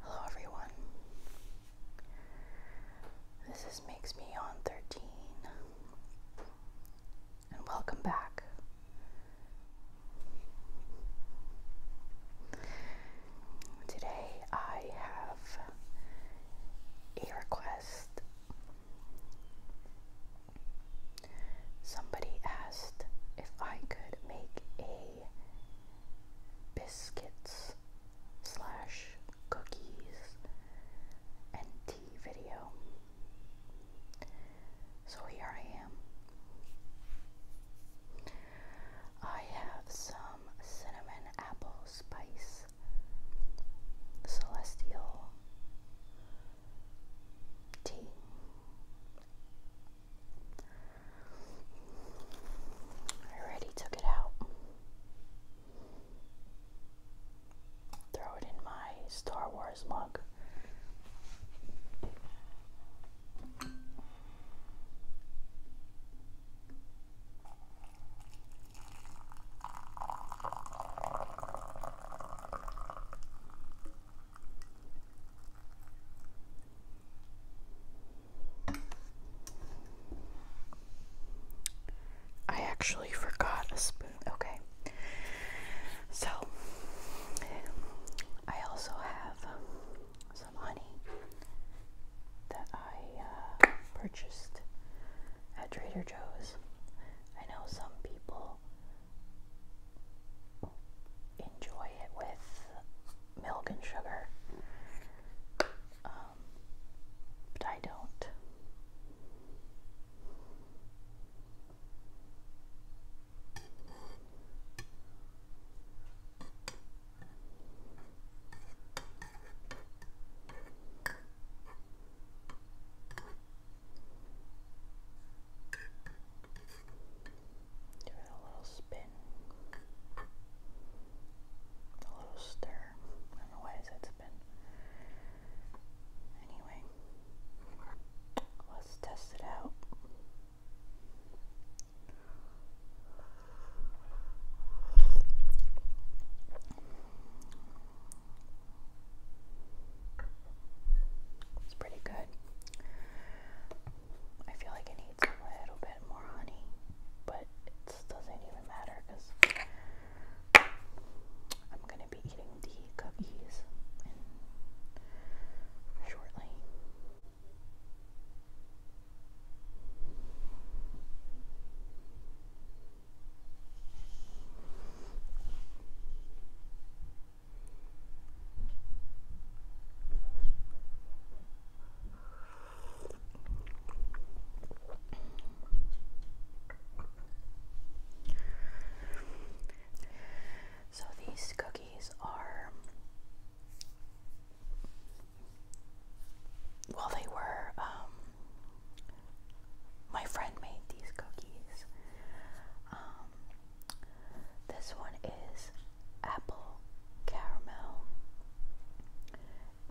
Hello everyone. This is Makes Me On 13. And welcome back. Today I have a request Somebody asked if I could make a biscuits slash cookies and tea video. So here I am. I have some cinnamon apple spice celestial T. I already took it out. Throw it in my Star Wars mug. I actually forgot a spoon. Okay. So, I also have some honey that I uh, purchased at Trader Joe's. I know some people enjoy it with milk and sugar. Um, but I don't. Give it a little spin, a little stir. I don't know why I said spin. Anyway, let's test it out. It's pretty good. I feel like it needs a little bit more honey, but it doesn't even matter because I'm going to be eating the cookies shortly. So these cookies are, well, they were um, my friend made these cookies. Um, this one is apple caramel,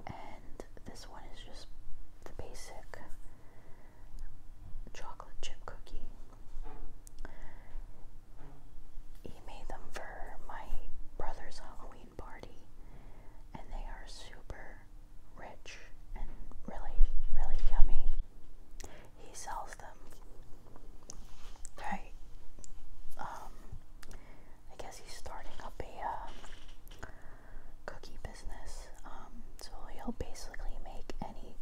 and this one is just the basic chocolate chip cookie. He made them for my brother's Halloween party, and they are super rich and really, really yummy. He sells them. Right. Um, I guess he's starting up a um, cookie business. Um, so he'll basically make any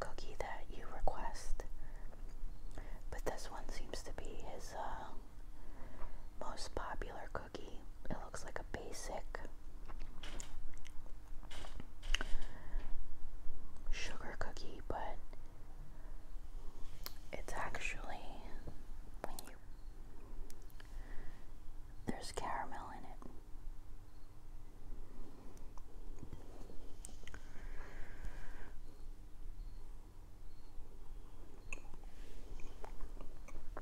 cookie that you request. But this one seems to be his uh, most popular cookie cookie. It looks like a basic sugar cookie, but it's actually when you there's caramel in it.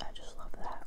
I just love that.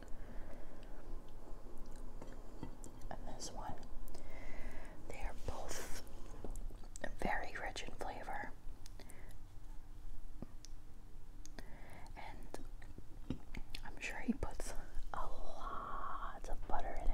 and this one. They are both very rich in flavor. And I'm sure he puts a lot of butter in it.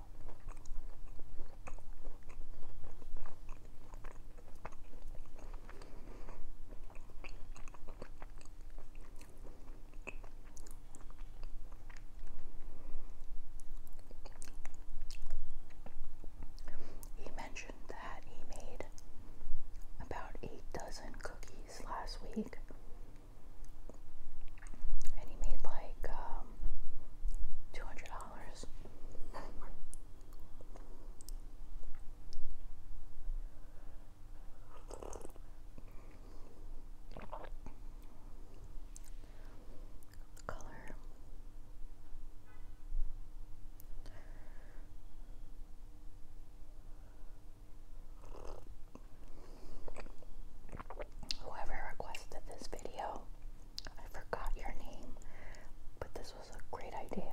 He mentioned that he made about eight dozen cookies last week and he made like um, two hundred dollars. Color. Whoever requested this video, I forgot your name, but this was a great idea.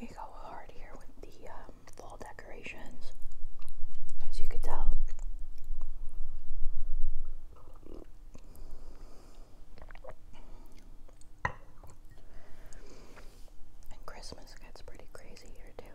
We go hard here with the um, fall decorations, as you could tell. And Christmas gets pretty crazy here, too.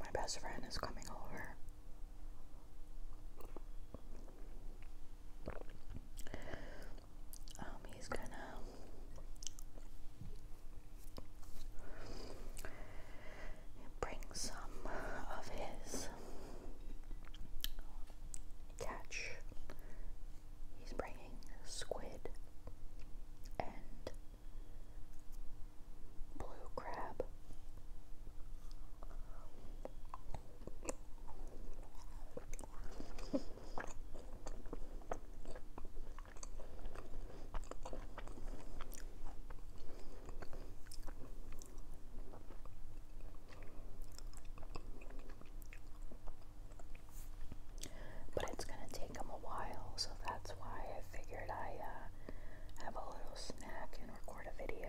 My best friend is coming over. Um, he's gonna bring some of his catch. He's bringing squid and blue crab. But it's going to take them a while, so that's why I figured I uh, have a little snack and record a video.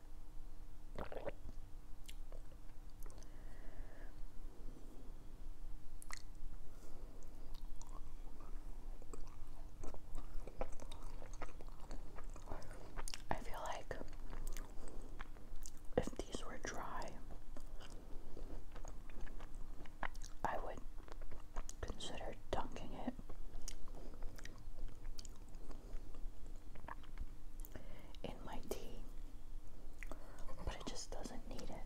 I feel like if these were dry, I would consider dunking it in my tea, but it just doesn't need it.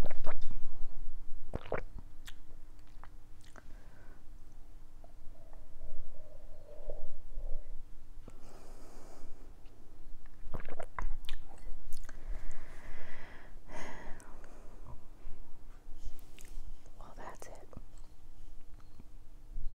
Well, that's it.